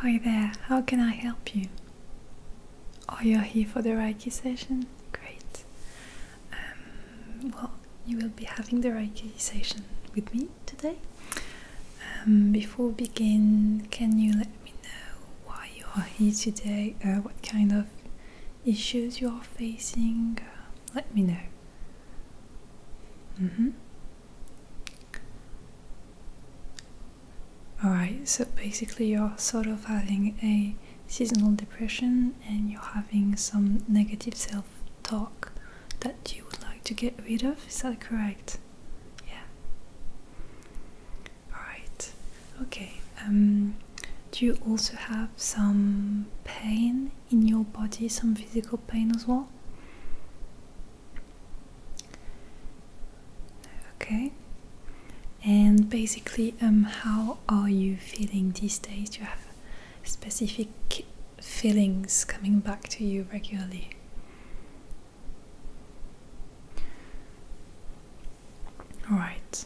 Hi there, how can I help you? Oh, you're here for the Reiki session? Great. Um, well, you will be having the Reiki session with me today. Um, before we begin, can you let me know why you are here today, uh, what kind of issues you are facing. Uh, let me know. Mm-hmm. Alright, so basically, you're sort of having a seasonal depression and you're having some negative self talk that you would like to get rid of. Is that correct? Yeah. All right. Okay. Um, do you also have some pain in your body, some physical pain as well? Okay. And basically, um, how are you feeling these days? Do you have specific feelings coming back to you regularly? Alright.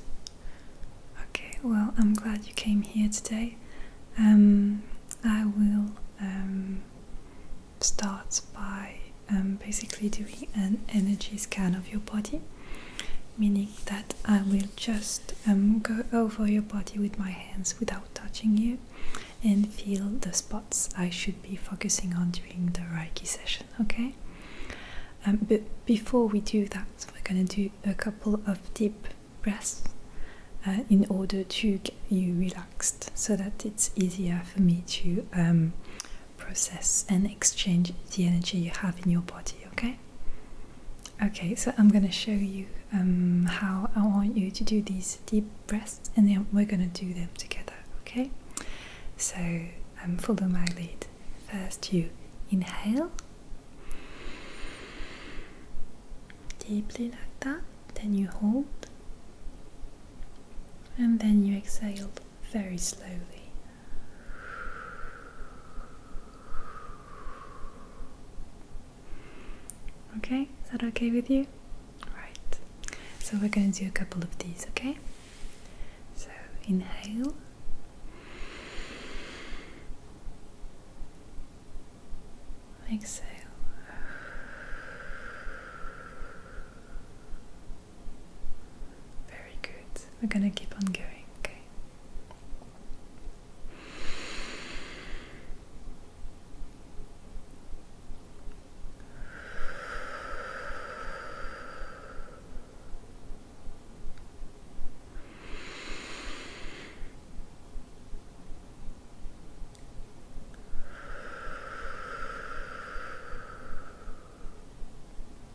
Okay, well, I'm glad you came here today. Um, I will um, start by um, basically doing an energy scan of your body, meaning that I will just go over your body with my hands without touching you and feel the spots I should be focusing on during the Reiki session okay? Um, but before we do that, we're going to do a couple of deep breaths uh, in order to get you relaxed so that it's easier for me to um, process and exchange the energy you have in your body, okay? Okay, so I'm going to show you um, how I want you to do these deep breaths and then we're going to do them together, okay? So um, follow my lead. First, you inhale deeply like that, then you hold, and then you exhale very slowly. Okay, is that okay with you? Right, so we're going to do a couple of these, okay? So inhale. Exhale. Very good. We're going to keep on going, okay?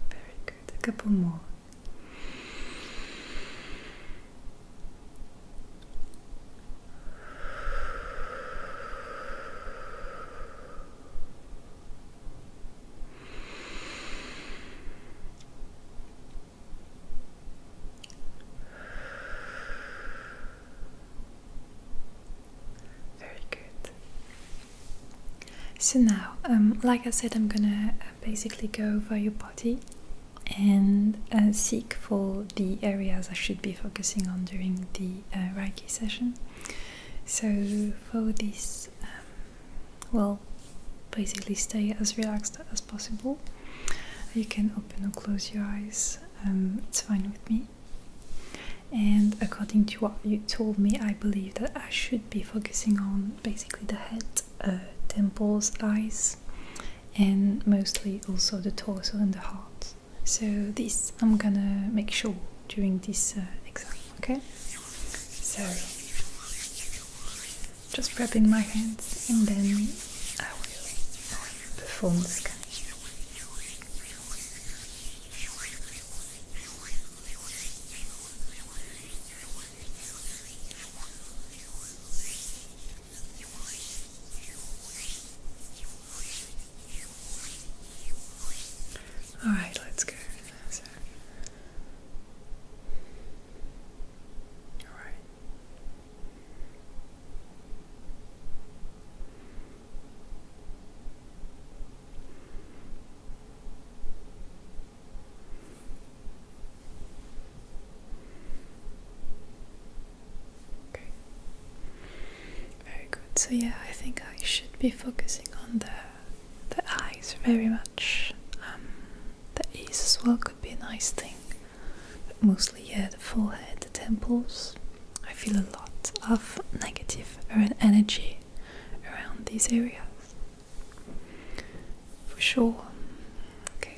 Very good. A couple more. Very good. So now, um, like I said, I'm gonna uh, basically go over your body and uh, seek for the areas I should be focusing on during the uh, Reiki session. So for this um, well basically stay as relaxed as possible you can open or close your eyes um, it's fine with me and according to what you told me i believe that i should be focusing on basically the head uh, temples eyes and mostly also the torso and the heart so this i'm gonna make sure during this uh, exam Okay? So, just wrapping my hands and then I will perform the scan. All right, let's go. All right. Okay. Very good. So yeah, I think I should be focusing on the the eyes very much. Um, the ears as well could be a nice thing, mostly yeah, the forehead, the temples. I feel a lot of negative er, energy around these areas, for sure. Okay.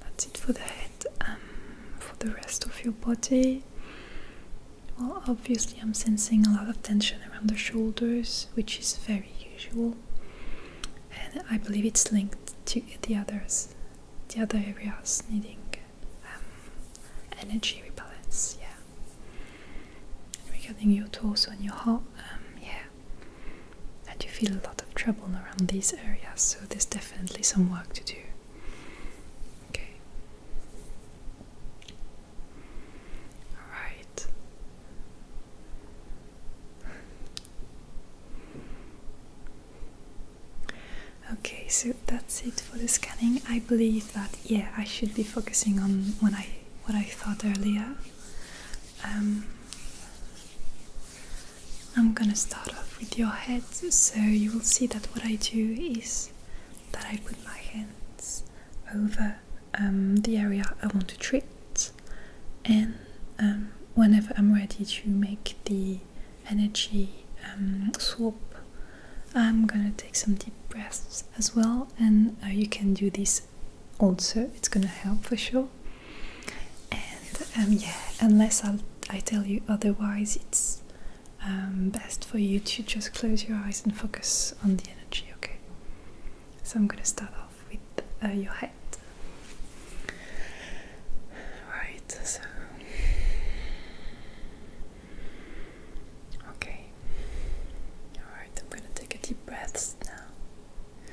That's it for the head. Um, for the rest of your body, well, obviously, I'm sensing a lot of tension around the shoulders, which is very usual, and I believe it's linked to the others, the other areas needing um, energy rebalance. Yeah, regarding your torso and your heart, um, yeah, and you feel a lot of trouble around these areas, so there's definitely some work to do. Okay. Alright. Okay, so that's it for the scanning. I believe that yeah, I should be focusing on when I what I thought earlier. Um, I'm gonna start off with your head, so you will see that what I do is that I put my hands over um, the area I want to treat, and um, whenever I'm ready to make the energy um, swap, I'm gonna take some deep breaths as well, and uh, you can do this also, it's gonna help for sure and um, yeah unless i i tell you otherwise it's um, best for you to just close your eyes and focus on the energy okay so i'm going to start off with uh, your head right so okay all right i'm going to take a deep breath now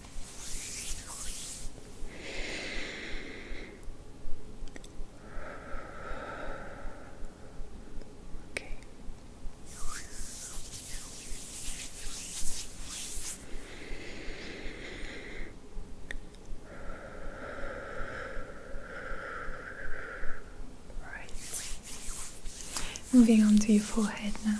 Okay. Right. Moving on to your forehead now.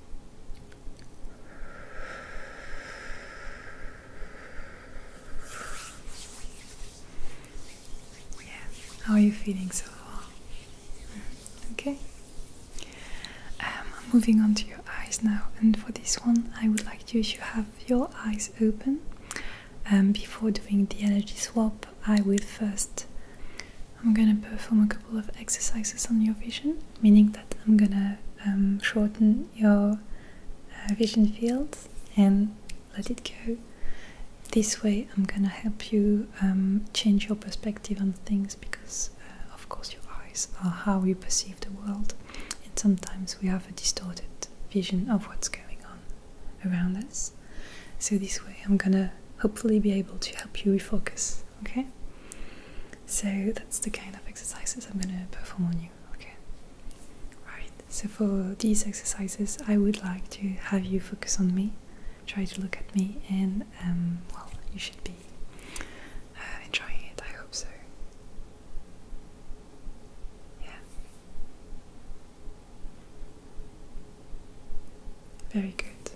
Yeah, how are you feeling so far? Mm, okay. Um, I'm moving on to your eyes now, and for this one, I would like you to have your eyes open. And um, before doing the energy swap, I will first I'm gonna perform a couple of exercises on your vision, meaning that I'm gonna um, shorten your uh, vision field and let it go. This way, I'm gonna help you um, change your perspective on things because, uh, of course, your eyes are how you perceive the world, and sometimes we have a distorted vision of what's going on around us. So, this way, I'm gonna hopefully be able to help you refocus okay? So that's the kind of exercises I'm gonna perform on you, okay? Right, so for these exercises, I would like to have you focus on me, try to look at me, and um, well, you should be uh, enjoying it, I hope so. Yeah. Very good.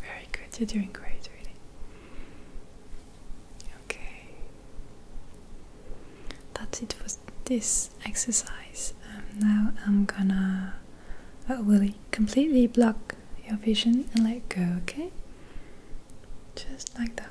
Very good, you're doing great, really. Okay that's it for this exercise. Um, now I'm gonna uh, will completely block your vision and let go, okay? Just like that.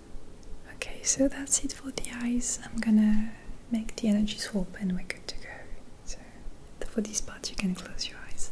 Okay, so that's it for the eyes. I'm gonna make the energy swap and we're good to go. So, for this part, you can close your eyes.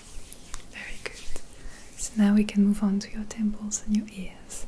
Very good. So now we can move on to your temples and your ears.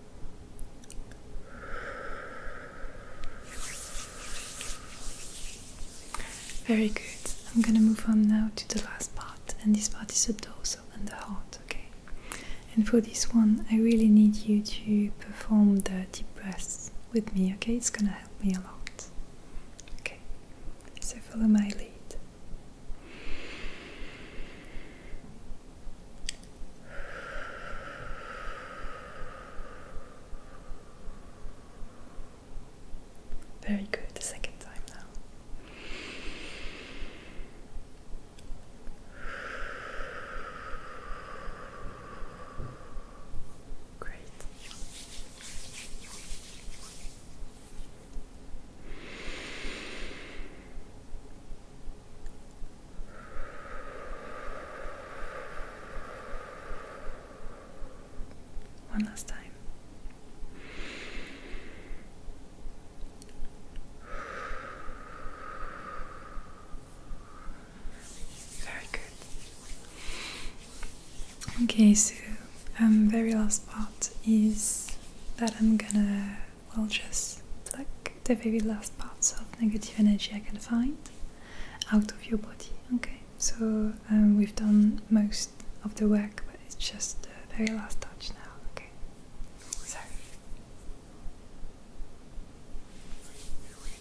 Very good. I'm gonna move on now to the last part, and this part is the torso and the heart, okay? And for this one, I really need you to perform the deep breaths with me, okay? It's gonna help me a lot. Okay, so follow my lead. Very good, the second time now. Great. One last time. Very good. Okay, so um, very last part is that I'm gonna well, just like the very last parts of negative energy I can find out of your body. Okay, so um, we've done most of the work, but it's just the very last touch now. Okay, so. Okay,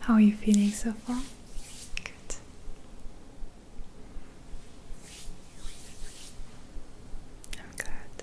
how are you feeling so far? Good. I'm glad.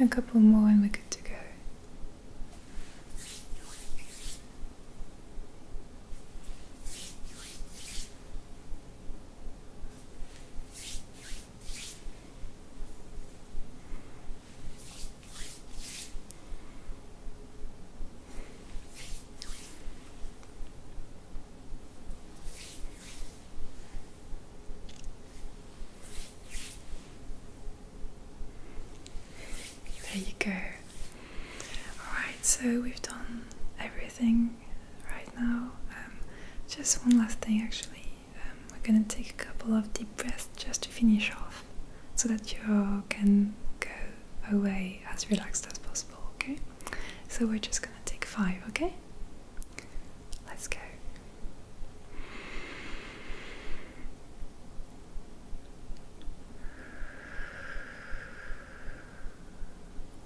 A couple more and we're good to go. There you go. Alright, so we've done everything right now. Um, just one last thing actually. Um, we're gonna take a couple of deep breaths just to finish off so that you can go away as relaxed as possible, okay? So we're just going gonna take five, okay? Let's go.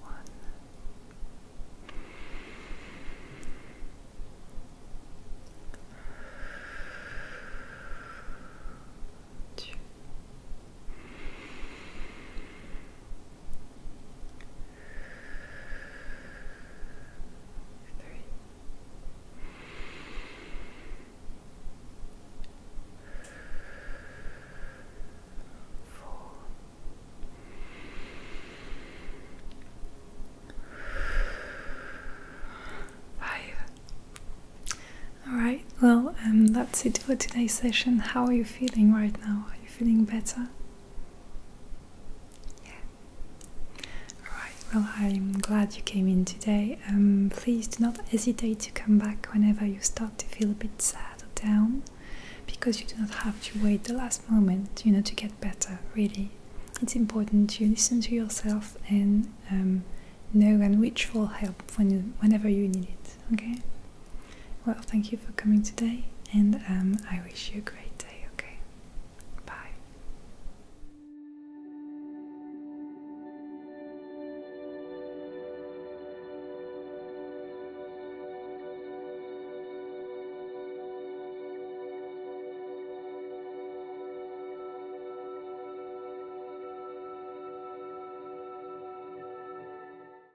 One. Two three. Alright, well, um, that's it for today's session. How are you feeling right now? Are you feeling better? Alright, well, I'm glad you came in today. Um, please do not hesitate to come back whenever you start to feel a bit sad or down because you do not have to wait the last moment, you know, to get better, really. It's important you listen to yourself and um, know and reach for help when whenever you need it, okay? Well, thank you for coming today, and um, I wish you a great day, okay? Bye.